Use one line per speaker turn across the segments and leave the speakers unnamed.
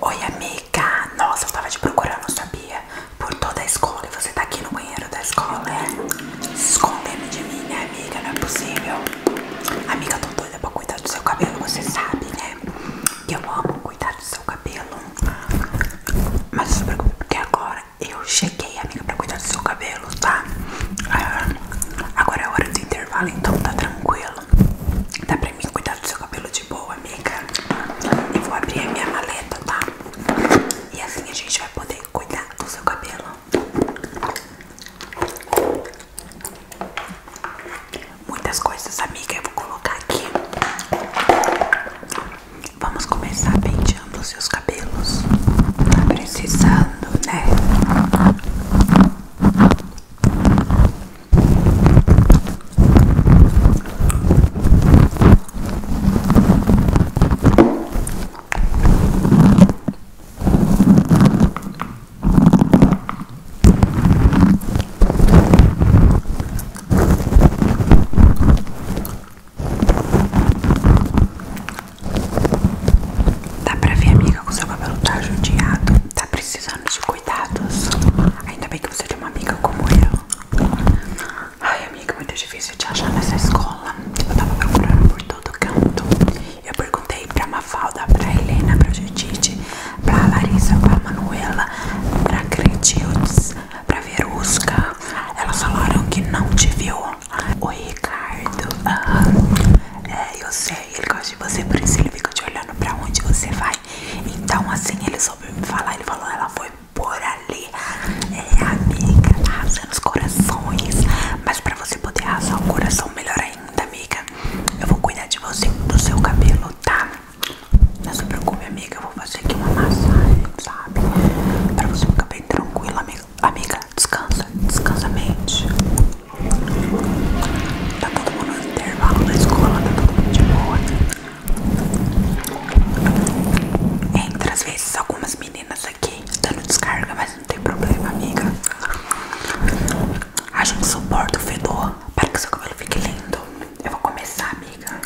Oi amiga, nossa eu tava te procurando, sabia? Por toda a escola e você tá aqui no banheiro da escola, é? Escondendo de mim, né amiga? Não é possível Amiga, eu tô doida pra cuidar do seu cabelo, você sabe, né? Que eu amo cuidar do seu cabelo Mas não se preocupe, porque agora eu cheguei, amiga, pra cuidar do seu cabelo, tá? Ah, agora é hora do intervalo, então tá tranquilo Dá pra mim cuidar do tá seu cabelo de boa, amiga. e vou abrir a minha maleta, tá? E assim a gente vai poder cuidar do seu cabelo. Muitas coisas, amiga, eu vou colocar aqui. Vamos começar penteando os seus cabelos. Tá precisando, né? Dá pra ver, amiga, com seu cabelo tá judiado precisando de cuidados. Ainda bem que você tem uma amiga como eu. Ai, amiga, muito difícil te achar nessa escola. Eu tava procurando por todo canto. Eu perguntei pra Mafalda, pra Helena, pra Judite, pra Larissa, pra Manuela, pra Cretildes, pra Verusca. Elas falaram que não te viu. Oi, Ricardo. É, eu sei, ele gosta de você, por isso ele fica te olhando pra onde você vai. Então, assim, ele soube me falar, ele falou, ela foi por ali. É, amiga, tá arrasa os corações. Mas pra você poder arrasar o coração melhor ainda, amiga, eu vou cuidar de você, do seu cabelo, tá? Não se preocupe, amiga, eu vou fazer aqui uma massagem, sabe? Pra você ficar bem tranquila, amiga. Amiga, descansa, descansa mente. Tá todo mundo no intervalo na escola, tá todo mundo de boa. Entre as vezes algumas meninas aqui dando descarga, mas não tem problema, amiga. A gente suporta o fedor para que seu cabelo fique lindo. Eu vou começar, amiga.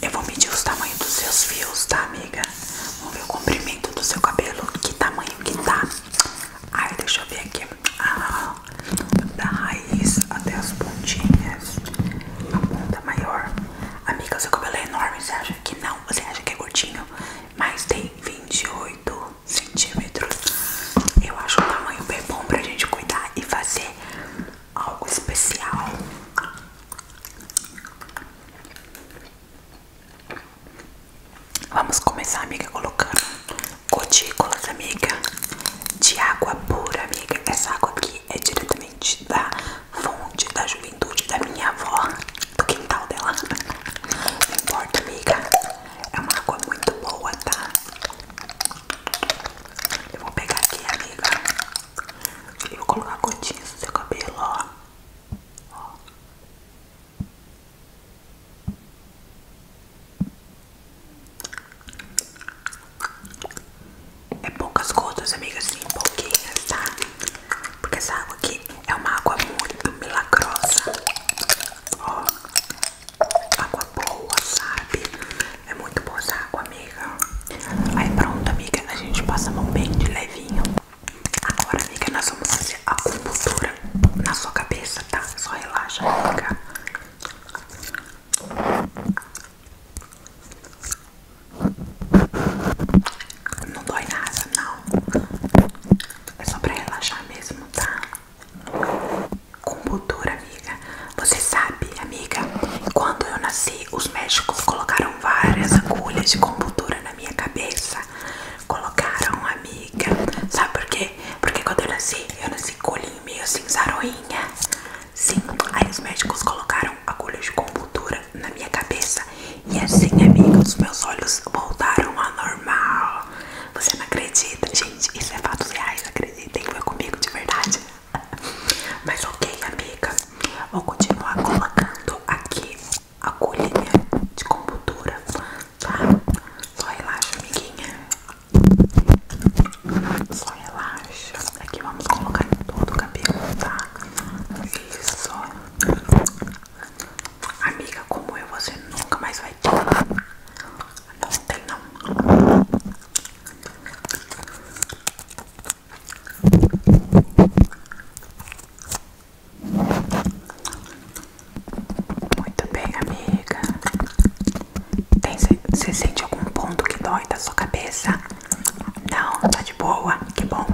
Eu vou medir os tamanhos dos seus fios, tá, amiga? Vamos ver o comprimento do seu cabelo, que tamanho que tá. Ai, deixa eu ver aqui, ah, da raiz até as pontinhas, a ponta maior. Amiga, seu cabelo é enorme, você acha que não? Você acha que é gordinho Mas tem 28 centímetros. Eu acho um tamanho bem bom pra gente cuidar e fazer algo especial. Vamos começar, amiga, colocando gotículas, amiga, de água pura, amiga. Essa água aqui é diretamente da fonte da juventude da minha avó, do quintal dela. Não importa, amiga. É uma água muito boa, tá? Eu vou pegar aqui, amiga. E vou colocar gotinhas no seu cabelo, ó. ó. É poucas gotas, amigas, sim, pouquinhas, tá? Porque essa água aqui é uma água muito milagrosa. Ó, água boa, sabe? É muito boa essa água, amiga. Aí pronto, amiga, a gente passa a mão bem de levinho. Agora, amiga, nós vamos fazer a acupuntura na sua cabeça, tá? Só relaxa, amiga Não dói nada, não. É só pra relaxar mesmo, tá? Acupuntura, amiga. Você sabe, amiga, quando eu nasci, os médicos colocaram várias agulhas de acupuntura na minha cabeça. Colocaram amiga. Sabe por quê? Porque quando eu nasci, eu nasci com olhinho meio assim, zaroinha. Sim, aí os médicos colocaram agulhas de compultura na minha cabeça. E assim, amiga, os meus olhos voltaram ao normal. Você não acredita, gente? Isso é fatos reais, acreditem. Foi comigo de verdade. Mas ok, amiga. Vou continuar colocando aqui a agulhinha de compultura tá? Só relaxa, amiguinha. Só relaxa. Aqui vamos colocar todo o cabelo, tá? Isso. Amiga, como eu, você nunca mais vai ter. Não tem, não. Muito bem, amiga. Tem, você sente algum ponto que dói da sua cabeça? Não, tá de boa. Que bom.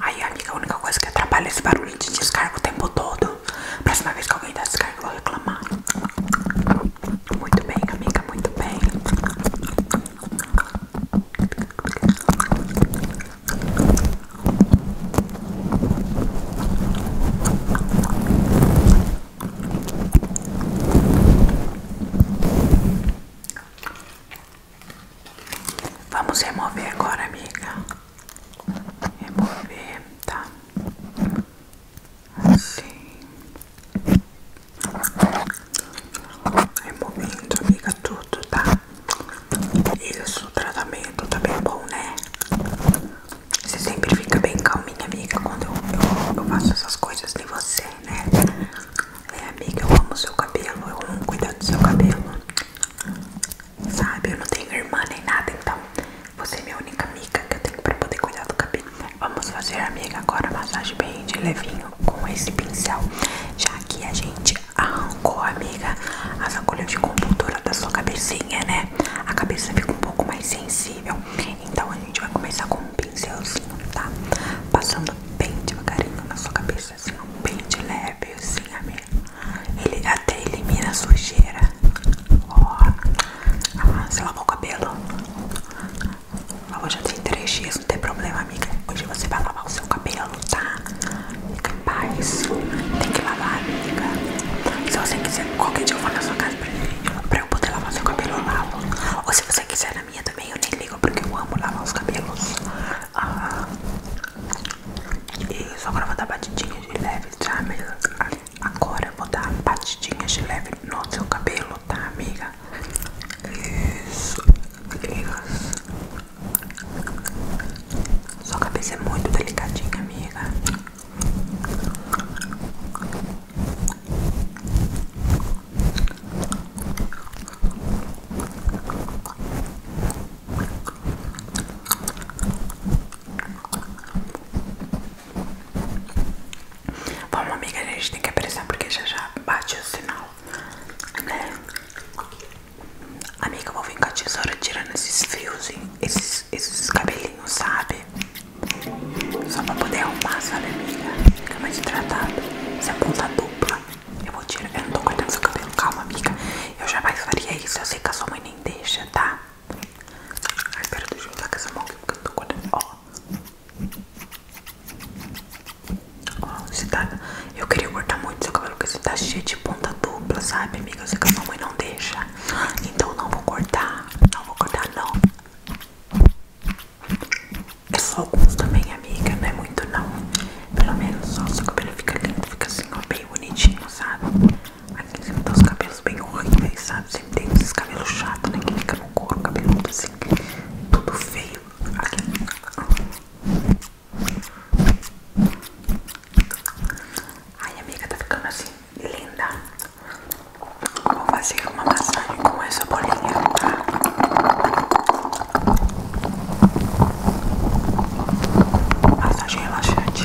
Aí, amiga, a única coisa que atrapalha esse barulho de descarga o tempo todo. Próxima vez que alguém dá descarga, eu vou reclamar. Muito bem, amiga, muito bem. Vamos remover agora, amiga. Remover, tá? Assim. Removendo, amiga, tudo, tá? Isso, o tratamento tá bem bom, né? Você sempre fica bem calminha, amiga, quando eu, faço essas coisas em você, né? É, amiga, eu amo seu cabelo, eu não cuido do seu cabelo. Sabe, eu não tenho irmã nem nada, então você é minha única amiga que eu tenho pra poder cuidar do cabelo. Vamos fazer, amiga, agora massagem bem de levinho com esse pincel, já que a gente arrancou, amiga, as agulhas de compultura da sua cabecinha, né? A cabeça fica um pouco mais sensível. Então a gente vai começar com um pincelzinho, tá? Passando bem devagarinho na sua cabeça, assim, um pente leve, assim, amiga. Ele até elimina a sujeira. Ó, oh. ah, você lavou o cabelo? Eu já tem três dias, não tem problema, amiga, hoje você vai lavar o seu cabelo, tá? Fica em paz, tem que lavar, amiga. Se você quiser, qualquer dia eu vou na sua casa pra, eu poder lavar seu cabelo, eu lavo. Ou se você quiser na minha também, eu te ligo porque eu amo lavar os cabelos. Ah, isso, agora eu vou dar batidinhas de leve, tá, amiga? Agora eu vou dar batidinhas de leve no seu cabelo, tá, amiga? Tá. isso. Sua cabeça é muito delicadinha, amiga. Vamos, amiga, a gente tem que apressar porque já já bate o sinal né? Amiga, eu vou vir com a tesoura tirando esses fios, esses, esses cabelinhos, sabe? Só pra poder arrumar, sabe, amiga? Fica mais hidratado. Isso é ponta dupla. Eu vou tirar. Eu não tô cortando seu cabelo, calma, amiga. Eu jamais faria isso. Eu sei que a sua mãe nem deixa, tá? Ai, pera, deixa eu usar com essa mão aqui porque eu não tô cortando. Ó, Ó, você tá... Eu queria cortar muito seu cabelo porque você tá cheio de ponta dupla, sabe, amiga? Eu sei que a sua mãe não deixa. Então não vou cortar. Não vou cortar, não. É só alguns também, amiga. Não é muito, não. Pelo menos só seu cabelo fica lindo, fica assim, ó, bem bonitinho, sabe? Aqui você cima tá os cabelos bem horríveis, sabe? Sempre tem esses cabelos chato, né? Que fica no couro, cabeludo assim, tudo feio. Ai, amiga, tá ficando assim, linda. Vou fazer uma massagem com essa bolinha, tá? Massagem relaxante.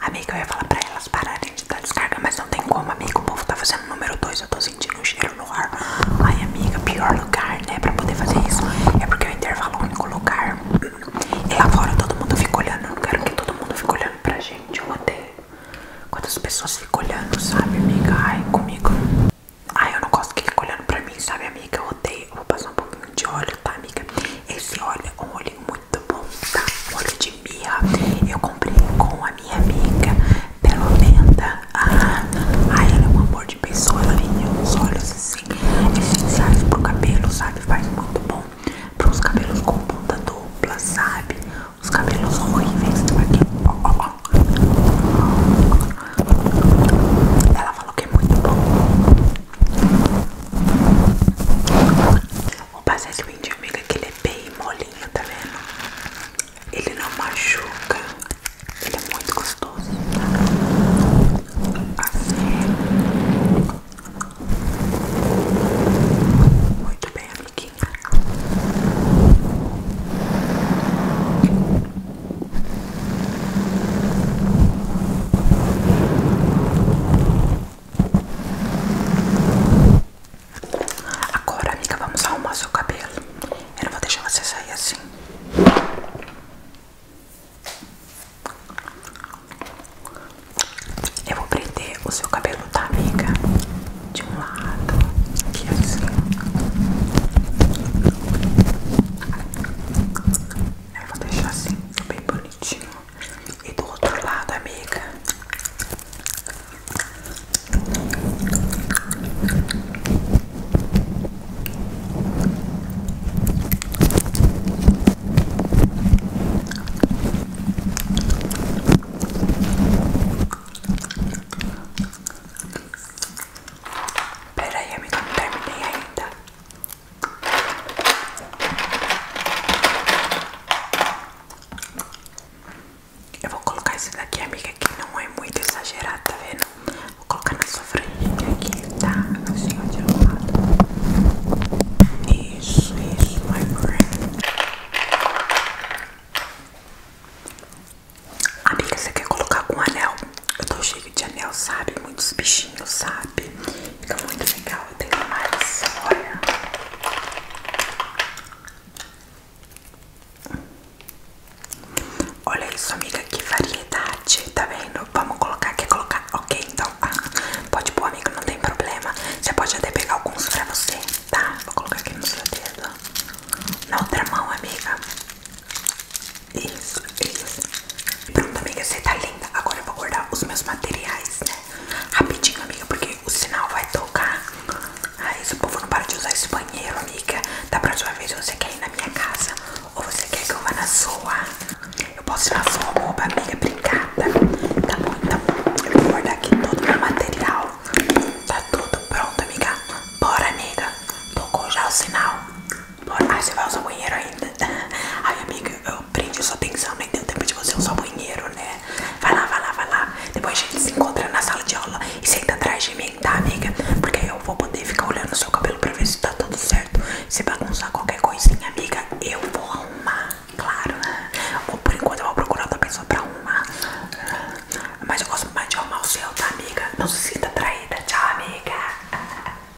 Amiga, eu ia falar pra elas pararem de dar descarga, mas não tem como, amiga. O povo tá fazendo número 2, eu tô sentindo um cheiro no ar. Ai, amiga, pior lugar, né, pra poder fazer isso. É porque é o intervalo é o único lugar. E lá fora todo mundo fica olhando. Eu não quero que todo mundo fique olhando pra gente. Eu odeio quando as pessoas ficam olhando, sabe, amiga? Ai, comigo. Ai, eu não gosto que fique olhando pra mim, sabe, amiga? Eu odeio. vou passar um pouquinho de óleo tá, amiga? Esse óleo é um óleo muito bom, tá? Um óleo de mirra. Eu comprei com a minha amiga pela venda. Ah, ai, ela é um amor de pessoa. Ela vende uns óleos assim, essenciais é pro cabelo, sabe? Faz muito bom para os cabelos com ponta dupla, sabe? Os cabelos horríveis. Tá aqui, ó, ó, ó. Ela falou que é muito bom. O passagem de amiga que ele é bem molinho, tá vendo? Ele não machuca, ele é muito gostoso. Assim. Muito bem, amiguinha. Agora, amiga, vamos arrumar seu cabelo. Eu não vou deixar você sair assim. Eu vou prender o seu cabelo, tá, amiga? De um lado, aqui assim. Eu vou deixar assim, bem bonitinho. E do outro lado, amiga. Peraí, amiga, não terminei ainda. Eu vou colocar esse daqui, amiga, que não é muito exagerado, tá vendo? Vou colocar na sua frente aqui, tá? Assim, ó, de um lado. Isso, isso, my friend. Amiga, você quer colocar com anel? Eu tô cheia vive de anel, sabe? Muitos bichinhos, sabe? Fica muito legal. Eu tenho mais. Olha. Olha isso, amiga. Que variedade. Tá vendo? Vamos colocar. Quer colocar? Ok, então. pode boa amiga, Não tem problema. Você pode até pegar alguns pra você. Tá? Vou colocar aqui no seu dedo. Na outra mão, amiga. Isso, isso. Pronto, amiga, você tá linda. Agora eu vou guardar os meus materiais, né? Rapidinho, amiga, porque o sinal vai tocar. Ai, esse povo não para de usar esse banheiro, amiga. Da próxima vez você quer ir na minha casa ou você quer que eu vá na sua? Eu posso ir na sua roupa, amiga. Obrigada. Tá bom, então eu vou guardar aqui todo o meu material. Tá tudo pronto, amiga. Bora, amiga. Tocou já o sinal ai você vai usar o banheiro ainda? Ai, amiga, eu aprendi só pensando, nem deu tempo de você usar o banheiro, né? Vai lá, vai lá, vai lá. Depois a gente se encontra na sala de aula e senta atrás de mim, tá, amiga? Porque eu vou poder ficar olhando o seu cabelo pra ver se tá tudo certo. Se bagunçar qualquer coisinha, amiga, eu vou arrumar, claro. Ou por enquanto eu vou procurar outra pessoa pra arrumar. Mas eu gosto mais de arrumar o seu, tá, amiga? Não se sinta traída. Tchau, amiga.